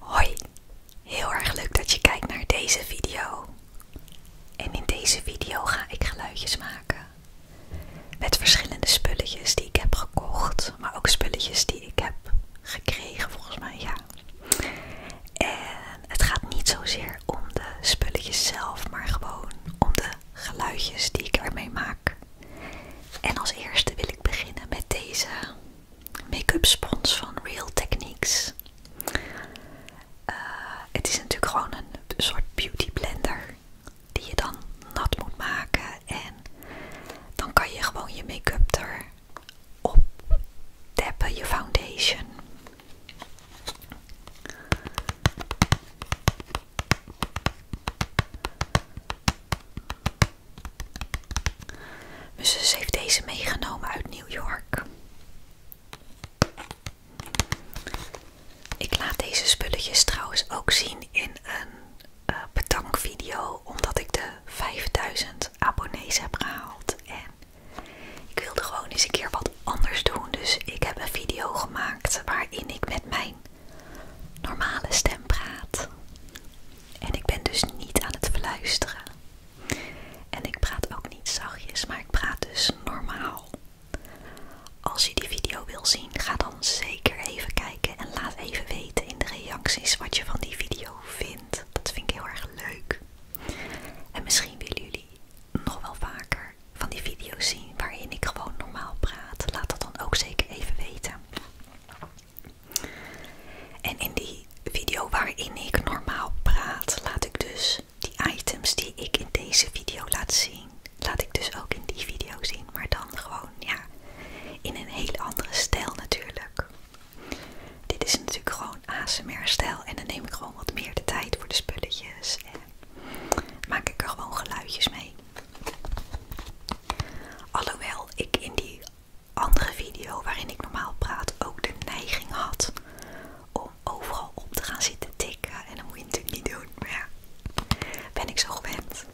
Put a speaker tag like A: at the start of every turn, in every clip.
A: Hoi, heel erg leuk dat je kijkt naar deze video. En in deze video ga ik geluidjes maken met verschillende spulletjes die ik heb gekocht, maar ook spulletjes die ik heb gekregen volgens mij, ja. En het gaat niet zozeer om de spulletjes zelf, maar gewoon om de geluidjes die ik ermee maak. En als eerste wil ik beginnen met deze make-up spons van Real Techniques. Eh, het is natuurlijk gewoon een soort beauty blender die je dan nat moet maken en dan kan je gewoon je make-up erop tappen, je foundation. Mijn zus heeft deze meegenomen uit New York. Ik laat deze spulletjes trouwens ook zien in een uh, bedankvideo, omdat ik de 5000 abonnees heb gehaald. En ik wilde gewoon eens een keer wat anders doen, dus ik heb een video gemaakt waarin ik met mijn normale stem praat. En ik ben dus niet aan het luisteren En ik praat ook niet zachtjes, maar ik praat dus normaal. Als je die video wil zien, ga dan zeker even kijken en laat even weten in de reacties wat je van die video vindt. Dat vind ik heel erg leuk. En misschien willen jullie nog wel vaker van die video's zien waarin ik gewoon normaal praat, laat dat dan ook zeker even weten. En in die video waarin ik normaal praat, laat ik dus die items die ik in deze video laat zien, laat ik dus ook in die video zien, maar dan gewoon ja, in een heel andere stijl natuurlijk. Dit is natuurlijk gewoon ASMR-stijl en dan neem ik gewoon wat meer de tijd voor de spulletjes en maak ik er gewoon geluidjes mee. Alhoewel ik in die andere video waarin ik normaal praat ook de neiging had om overal op te gaan zitten tikken. En dat moet je natuurlijk niet doen, maar ben ik zo gewend.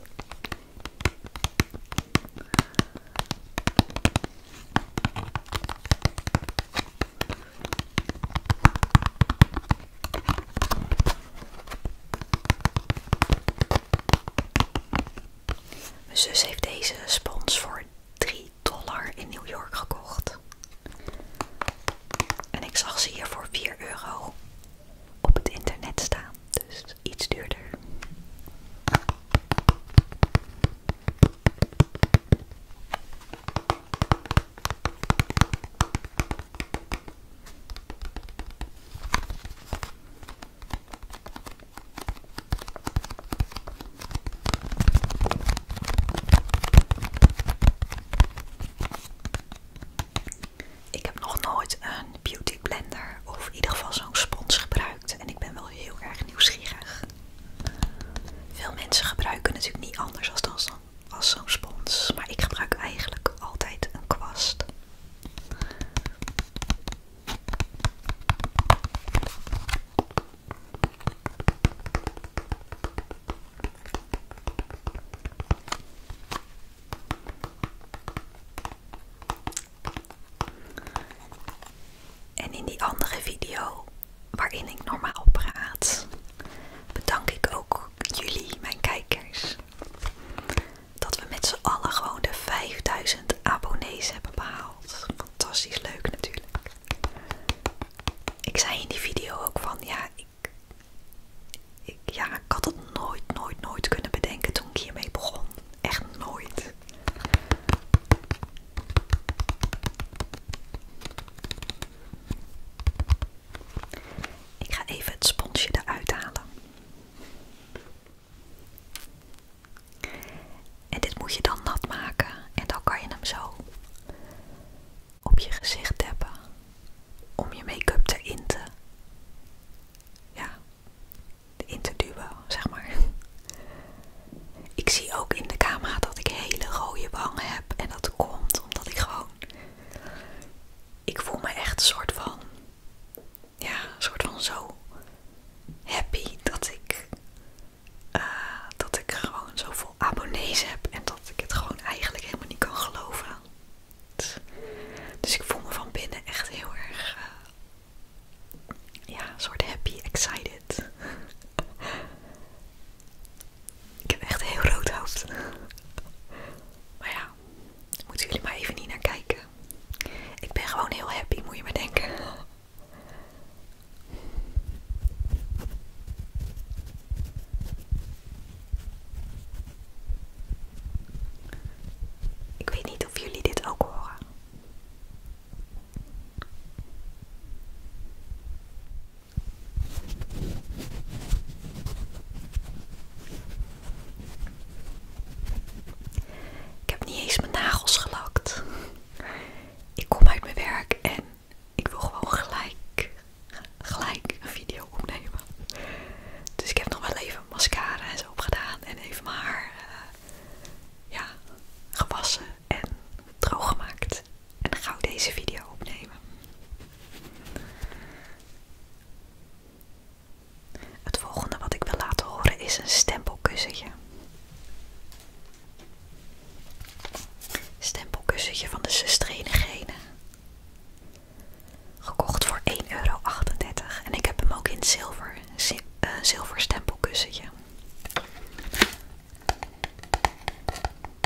A: Mijn zus heeft deze spons voor 3 dollar in New York gekocht. En ik zag ze hier voor 4 euro op het internet staan. Dus iets duurder. Ik heb nog nooit een beauty blender of in ieder geval zo'n spons gebruikt en ik ben wel heel erg nieuwsgierig. Veel mensen gebruiken natuurlijk niet anders als dan als zo'n spons. Maar ik gebruik eigenlijk altijd een kwast. En in die andere video waarin ik normaal praat, bedank ik ook jullie, mijn kijkers, dat we met z'n allen gewoon de 5000 abonnees hebben behaald. Fantastisch leuk natuurlijk. Ik zei in die video ook van ja, ik, ja, ik had het nooit, nooit, nooit kunnen bedenken toen ik hiermee begon. Echt nooit. Ik ga even het sponsje eruit halen. En dit moet je dan nat maken en dan kan je hem zo op je gezicht hebben om je make-up te te, ja, De duwen, zeg maar. Ik zie ook in de camera dat ik hele rode wangen heb en dat komt omdat ik gewoon ik voel me echt een soort van, ja, een soort van zo happy dat ik, eh, dat ik gewoon zoveel abonnees heb en dat ik het gewoon eigenlijk helemaal niet kan geloven. Dus ik voel me van binnen echt heel erg, eh, ja, een soort happy, excited. Ik heb echt heel rood hoofd. Maar ja, moeten jullie maar even niet naar kijken. Ik ben gewoon heel happy, moet je maar denken. Ik weet niet of jullie dit ook horen. Ik heb niet eens mijn nagels gelakt. Ik kom uit mijn werk en ik wil gewoon gelijk, gelijk een video opnemen. Dus ik heb nog wel even mascara en zo opgedaan en even mijn haar eh, ja, gewassen en droog gemaakt. En dan ga ik deze video opnemen. Het volgende wat ik wil laten horen is een stempelkussentje. Stempelkussentje van de zusterenigene. Gekocht voor 1,38 euro. En ik heb hem ook in zilver. Eh, zilver stempelkussentje.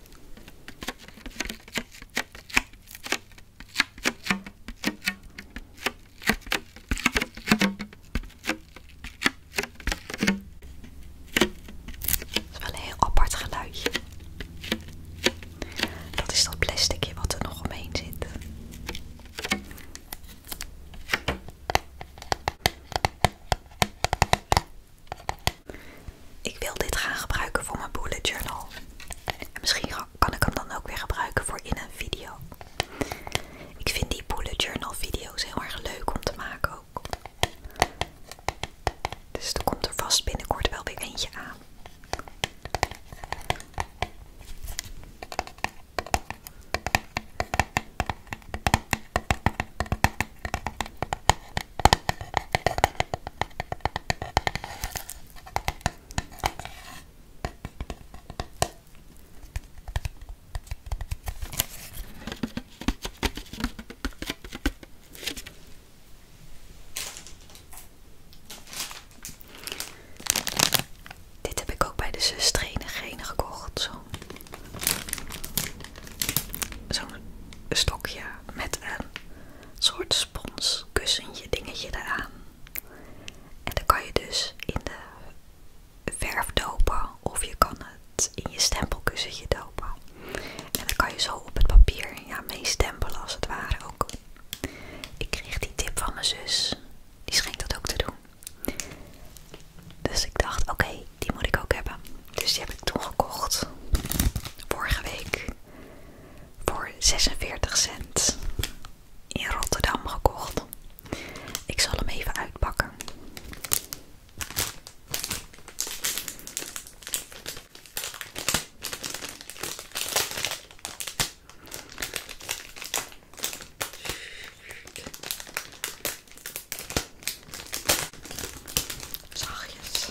A: Het is wel een heel apart geluidje. Dat is dat plasticje wat er nog omheen zit. Ik wil dit gaan gebruiken voor mijn bullet journal. misschien kan ik hem dan ook weer gebruiken voor in een video. Ik vind die bullet journal video's heel erg leuk om te maken ook. Dus er komt er vast binnenkort wel weer eentje aan. Dit heb ik ook bij de zus trainengene gekocht. Zo'n zo stokje met een soort spons, kussentje, dingetje daaraan En dan kan je dus in de verf dopen of je kan het in je stempelkussentje dopen. En dan kan je zo op het papier ja, mee stempelen als het ware ook. Ik kreeg die tip van mijn zus, die schijnt dat ook te doen. Dus ik dacht, oké, die moet ik ook hebben. Dus die heb ik toen gekocht. Vorige week. Voor 46 cent. In Rotterdam gekocht. Ik zal hem even uitpakken zachjes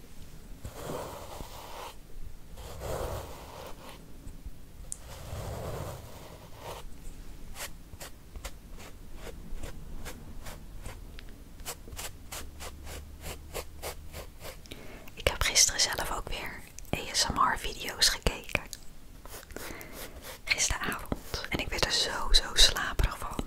A: Ik heb gisteren zelf ook weer ASMR-video's gekeken. Gisteravond. En ik werd er zo, zo slaperig van.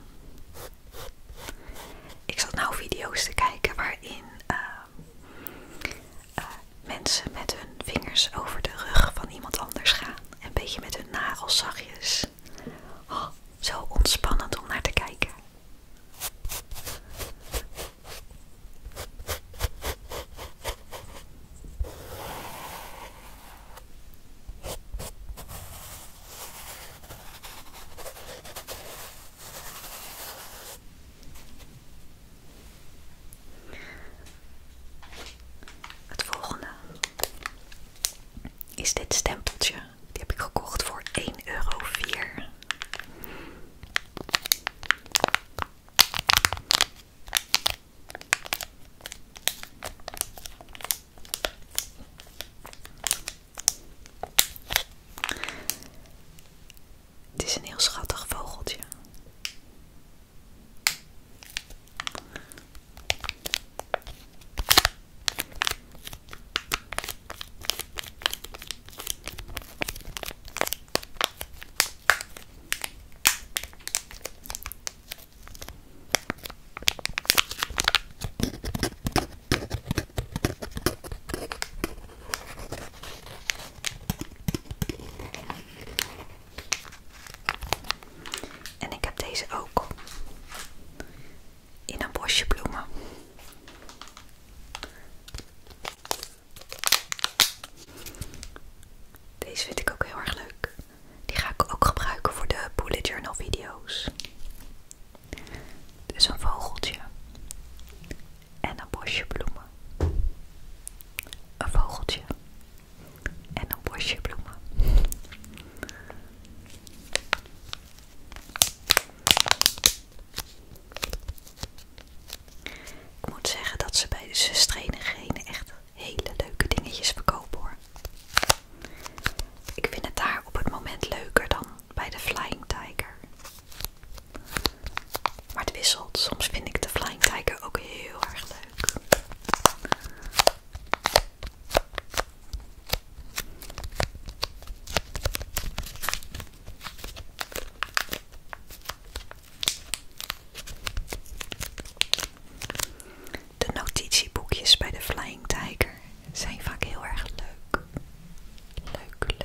A: Ik zat nou video's te kijken waarin eh, Ehm, eh, mensen met hun vingers over de rug van iemand anders gaan. En een beetje met hun nagels zachtjes. Oh, zo ontspannend om naar te kijken. Het volgende is dit stempeltje. Die heb ik gekocht voor 1,04 euro. Het is een heel schattig vogeltje. En ik heb deze ook in een bosje bloemen. Deze vind ik ook heel erg leuk. Die ga ik ook gebruiken voor de bullet journal video's. Dus een vogeltje en een bosje bloemen. Een vogeltje en een bosje bloemen. Ik moet zeggen dat ze bij de zusterengenen echt hele leuke dingetjes verkopen hoor. Ik vind het daar op het moment leuker dan bij de Flying Tiger. Maar het wisselt. Soms vind ik de flying Tiger ook heel erg leuk. De notitieboekjes bij de Flying Tiger zijn vaak heel erg leuk. Leuk,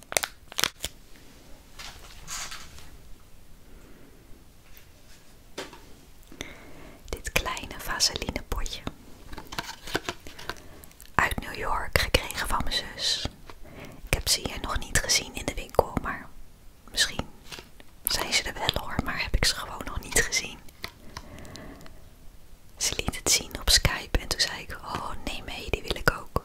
A: Dit kleine vaseline potje. Uit New York gekregen van mijn zus. Ik heb ze hier nog niet gezien in de winkel, maar misschien zijn ze er wel hoor, maar heb ik ze gewoon nog niet gezien. Ze liet het zien op Skype en toen zei ik: Oh, nee, mee, die wil ik ook.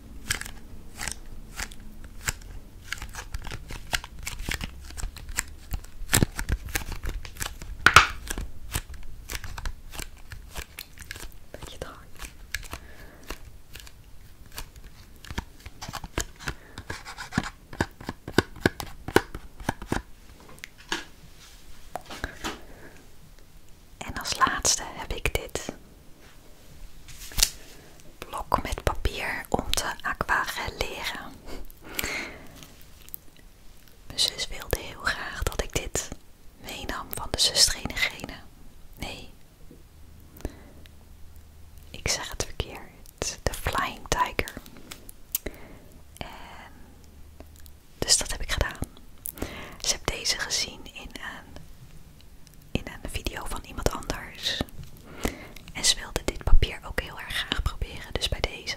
A: En als laatste heb ik dit. Blok met papier om te aquarelleren. Mijn zus wilde heel graag dat ik dit meenam van de Gene. Nee. Ik zeg het verkeerd. De Flying Tiger. En dus dat heb ik gedaan. Ze heb deze gezien in een in een video van iemand anders. En ze wilde dit papier ook heel erg graag proberen, dus bij deze.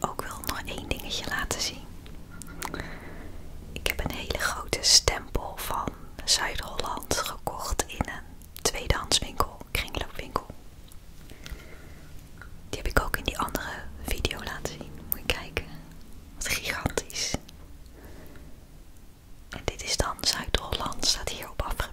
A: Ook wil nog één dingetje laten zien. Ik heb een hele grote stempel van Zuid-Holland gekocht in een tweedehandswinkel, kringloopwinkel. Die heb ik ook in die andere video laten zien. Moet je kijken. Wat gigantisch. En dit is dan Zuid-Holland, staat hierop afgebeeld.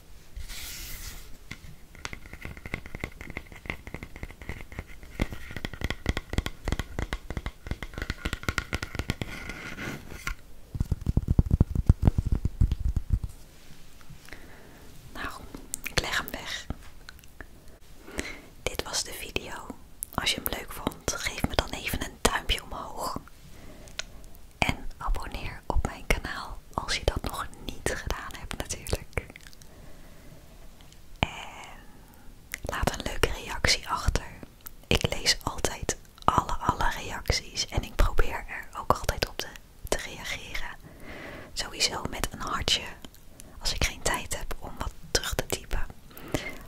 A: Nou, ik leg hem weg. Dit was de video. Als je hem leuk vond, geef me dan even een duimpje omhoog. En abonneer op mijn kanaal als je dat nog niet gedaan hebt natuurlijk. En laat een leuke reactie achter. Ik lees altijd alle, alle reacties en ik probeer er ook altijd op te, te reageren. Sowieso met een hartje als ik geen tijd heb om wat terug te typen.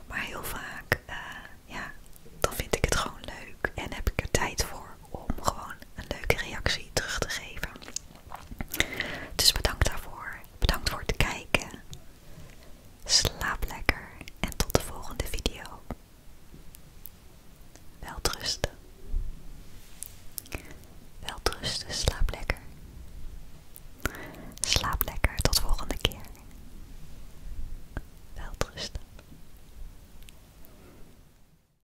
A: Maar heel vaak, eh, ja, dan vind ik het gewoon leuk en heb ik er tijd voor om gewoon een leuke reactie terug te geven. Dus bedankt daarvoor. Bedankt voor het kijken. Slaap lekker en tot de volgende video. Welterusten. Welterusten, slaap lekker. Slaap lekker, tot volgende keer. Welterusten.